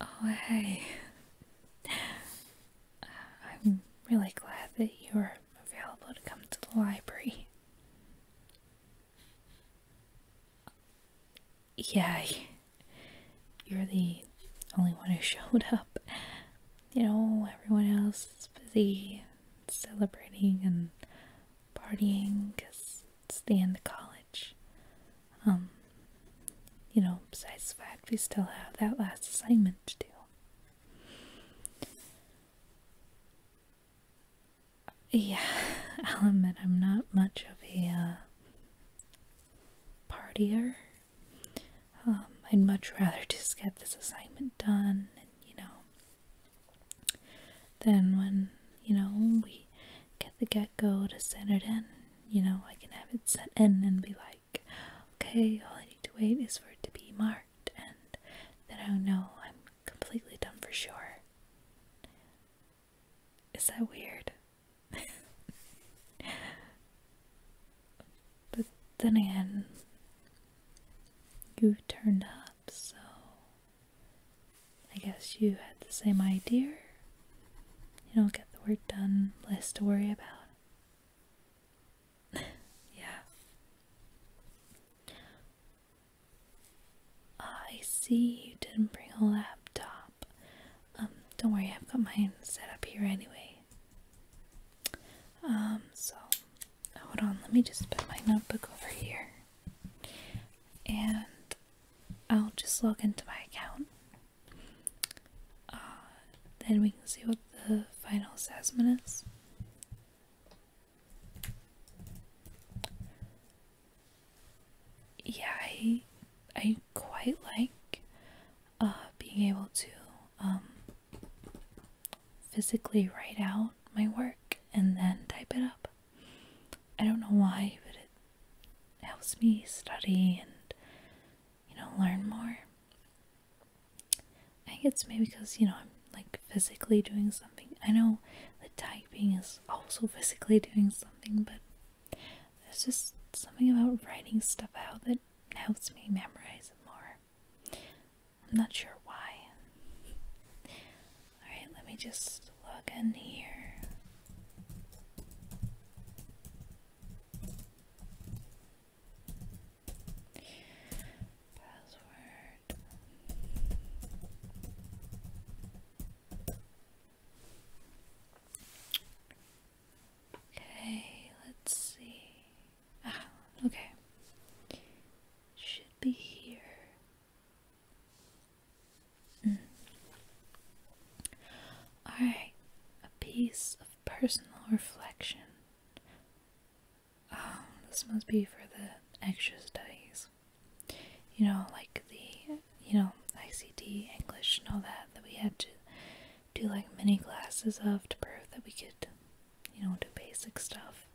Oh, hey. I'm really glad that you're available to come to the library. Yeah, you're the only one who showed up you know, everyone else is busy celebrating and partying because it's the end of college. Um, you know, besides the fact we still have that last assignment to do. Yeah, I'll admit I'm not much of a uh, partier. Um, I'd much rather just get this assignment done you know. Then when, you know, we get the get-go to send it in, you know, I can have it sent in and be like, okay, all I need to wait is for it to be marked and then I'll know I'm completely done for sure. Is that weird? But then again, you turned up, so I guess you had the same idea. You don't get the work done, less to worry about. yeah. I see you didn't bring a laptop. Um, don't worry, I've got mine set up here anyway. Um, so hold on, let me just put my notebook over here and I'll just log into my account. Uh, then we can see what the final assessment is. Yeah, I, I quite like uh, being able to um, physically write out my work and then type it up. I don't know why, but it helps me study and, you know, learn more. I think it's maybe because, you know, I'm like physically doing something. I know the typing is also physically doing something, but there's just something about writing stuff out that helps me memorize it more. I'm not sure why. Alright, let me just log in here. Password. Okay, let's see. Ah, okay. Should be here. Mm. Alright, a piece of personal reflection. Um, this must be for the extra studies. You know, like the, you know, ICT, English, and all that, that we had to do like many classes of to prove that we could you know, do basic stuff.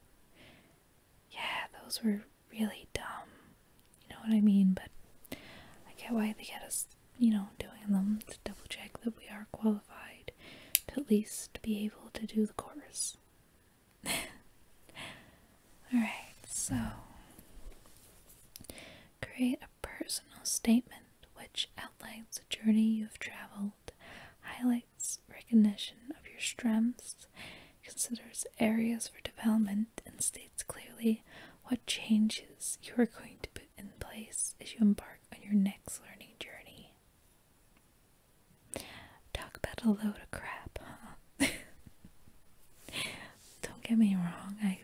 Yeah, those were really dumb. You know what I mean? But I get why they had us, you know, doing them to double check that we are qualified to at least be able to do the course. Alright, so create a personal statement which outlines the journey you have traveled, Highlight recognition of your strengths, considers areas for development, and states clearly what changes you are going to put in place as you embark on your next learning journey. Talk about a load of crap, Don't get me wrong, I've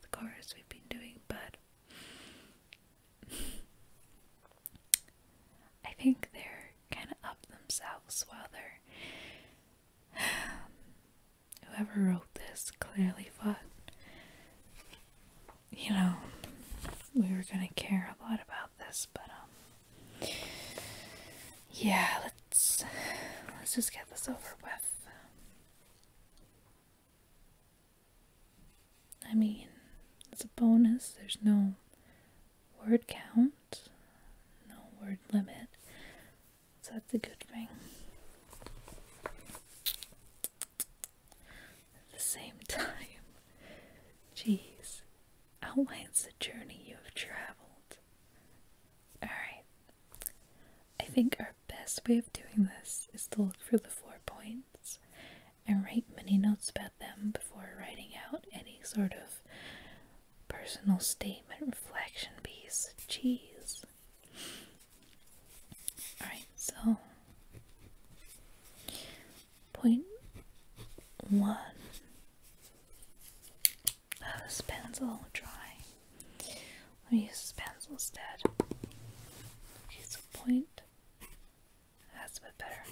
the course we've been doing, but I think they're kind of up themselves while they're. Whoever wrote this clearly thought, you know, we were gonna care a lot about this, but um, yeah, let's let's just get this over with. I mean, it's a bonus. There's no word count, no word limit. So that's a good thing. At the same time, jeez, outlines the journey you have traveled. Alright. I think our best way of doing this is to look for the four points and write many notes about them before writing out any sort of personal statement reflection piece. Jeez. Alright, so point one. Oh, this pen's dry. Let me use this pencil instead. Okay, so point that's a bit better.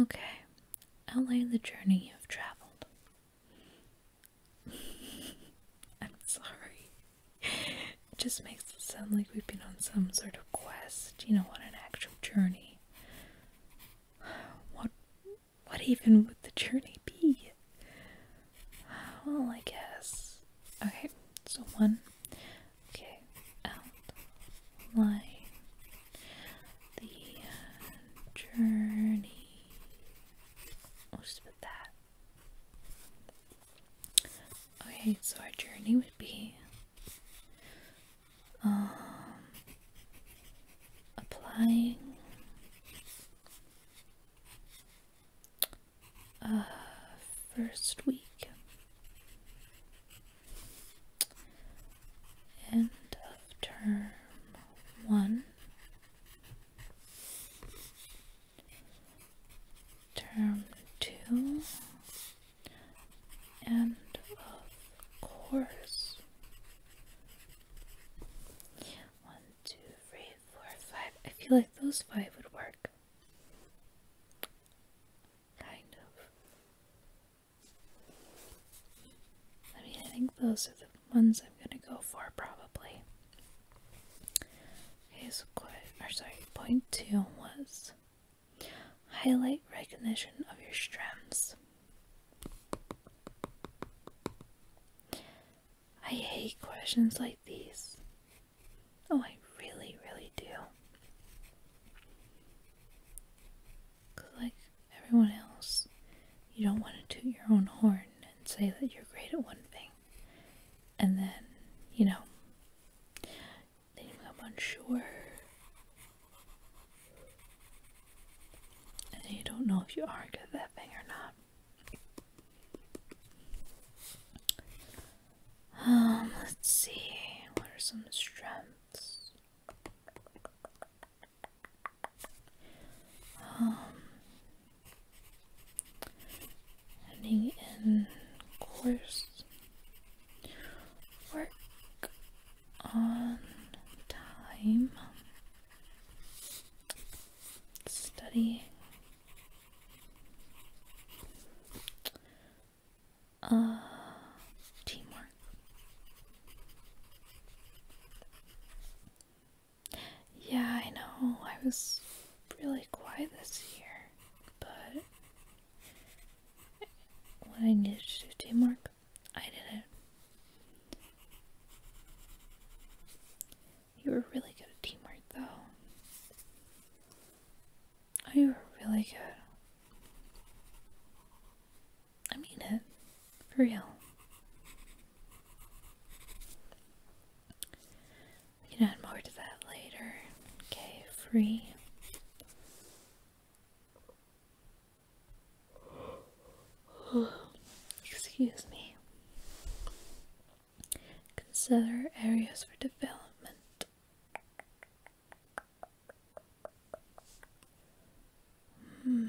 Okay, outline the journey you've traveled. I'm sorry. It just makes it sound like we've been on some sort of quest, you know, on an actual journey. What what even would the journey be? Well, I guess. Okay, so one, okay, outline the uh, journey. I'll that. Okay, so our journey would be um, applying uh, first week end of term one term two End of course one two three four five I feel like those five would work Kind of. I mean, I think those are the ones I'm gonna go for probably. Okay, so or sorry, point two was highlight recognition of your strengths. I hate questions like these. Oh, I really, really do. like everyone else, you don't want to toot your own horn and say that you're great at one thing. And then, you know, you become unsure. And you don't know if you are good at that thing or not. Um, let's see, what are some strengths? Um, ending in course work on time Study. Uh, teamwork. Yeah, I know. I was really quiet this year, but when I needed to do teamwork, I did it. You were really good at teamwork, though. Oh, you were really good. I mean it. For real. We can add more to that later. Okay, free. Excuse me. Consider areas for development. Hmm.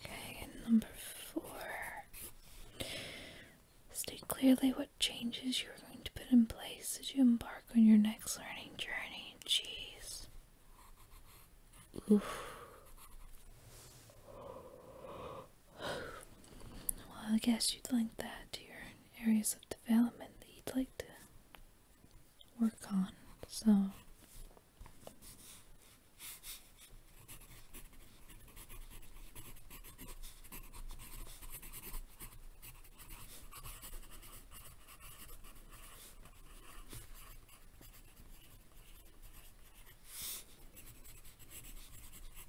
Okay, number four. State clearly what changes you're going to put in place as you embark on your next learning journey. Jeez. Oof. Well, I guess you'd like that dear areas of development that you'd like to work on. So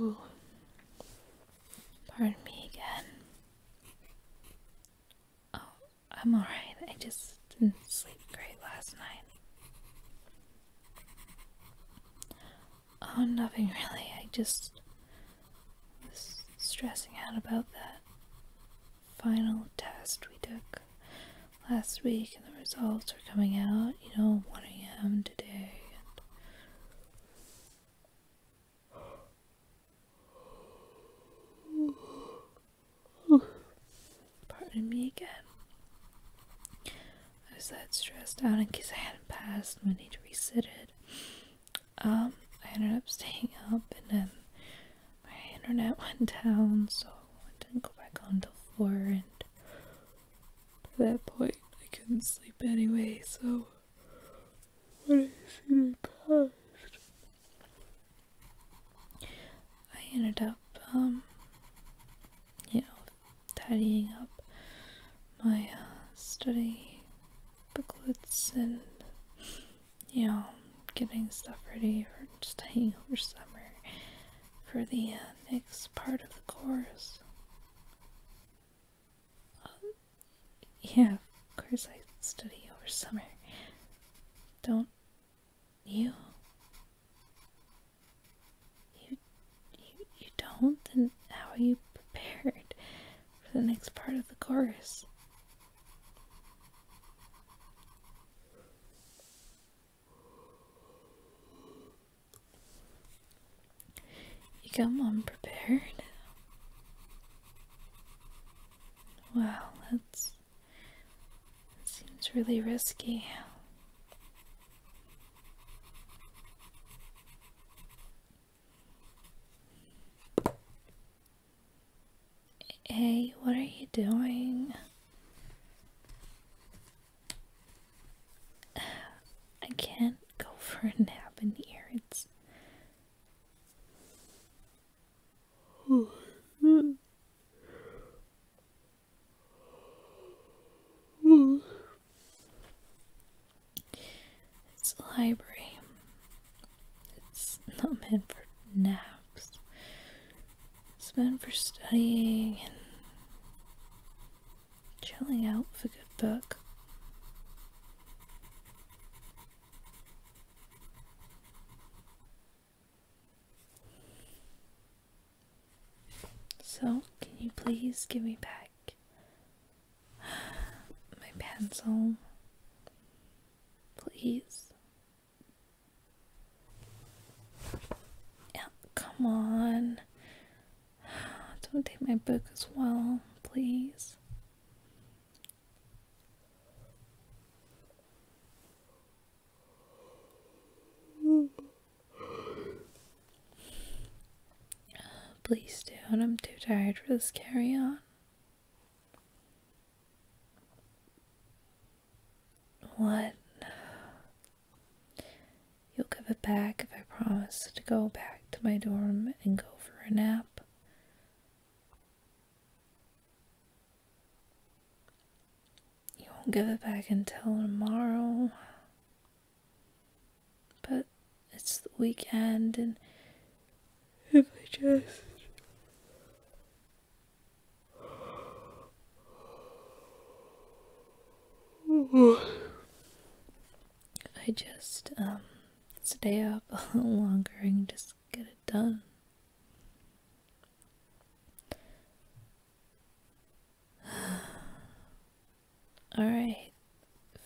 Ooh. Pardon me again. Oh, I'm alright. I just didn't sleep great last night. Oh, nothing really. I just was stressing out about that final test we took last week, and the results are coming out, you know, 1 a.m. today. Pardon me again. I was that stressed out in case I hadn't passed and would need to resit it. Um, I ended up staying up and then my internet went down, so I didn't go back on till 4 and at that point I couldn't sleep anyway, so when I see it passed, I ended up, um, you know, tidying up my uh, study booklets and, you know, getting stuff ready for studying over summer for the uh, next part of the course. Um, yeah, of course I study over summer. Don't you. You, you, don't? Then how are you prepared for the next part of the chorus? You come unprepared? Wow, us it seems really risky. Hey, what are you doing? I can't go for a nap in here. It's it's a library. It's not meant for naps. It's meant for studying and chilling out with a good book. So, can you please give me back my pencil? Please. Yeah, come on. Don't take my book as well, please. Please don't, I'm too tired for this carry on. What? You'll give it back if I promise to go back to my dorm and go for a nap. You won't give it back until tomorrow. But it's the weekend, and if I just. I just um stay up a little longer and just get it done. Alright,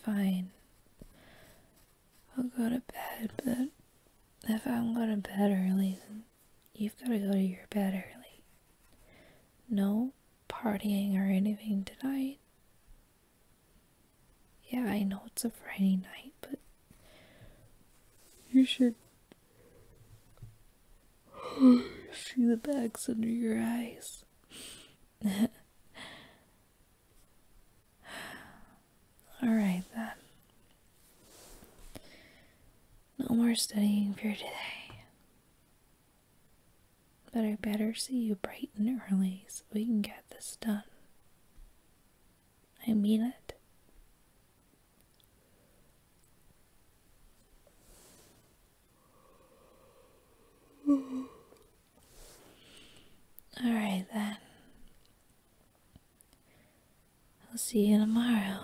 fine. I'll go to bed, but if I'm going to bed early, then you've got to go to your bed early. No partying or anything tonight. Yeah, I know it's a Friday night, but you should see the bags under your eyes. Alright then. No more studying for today. But I better see you bright and early so we can get this done. I mean it. All right, then. I'll see you tomorrow.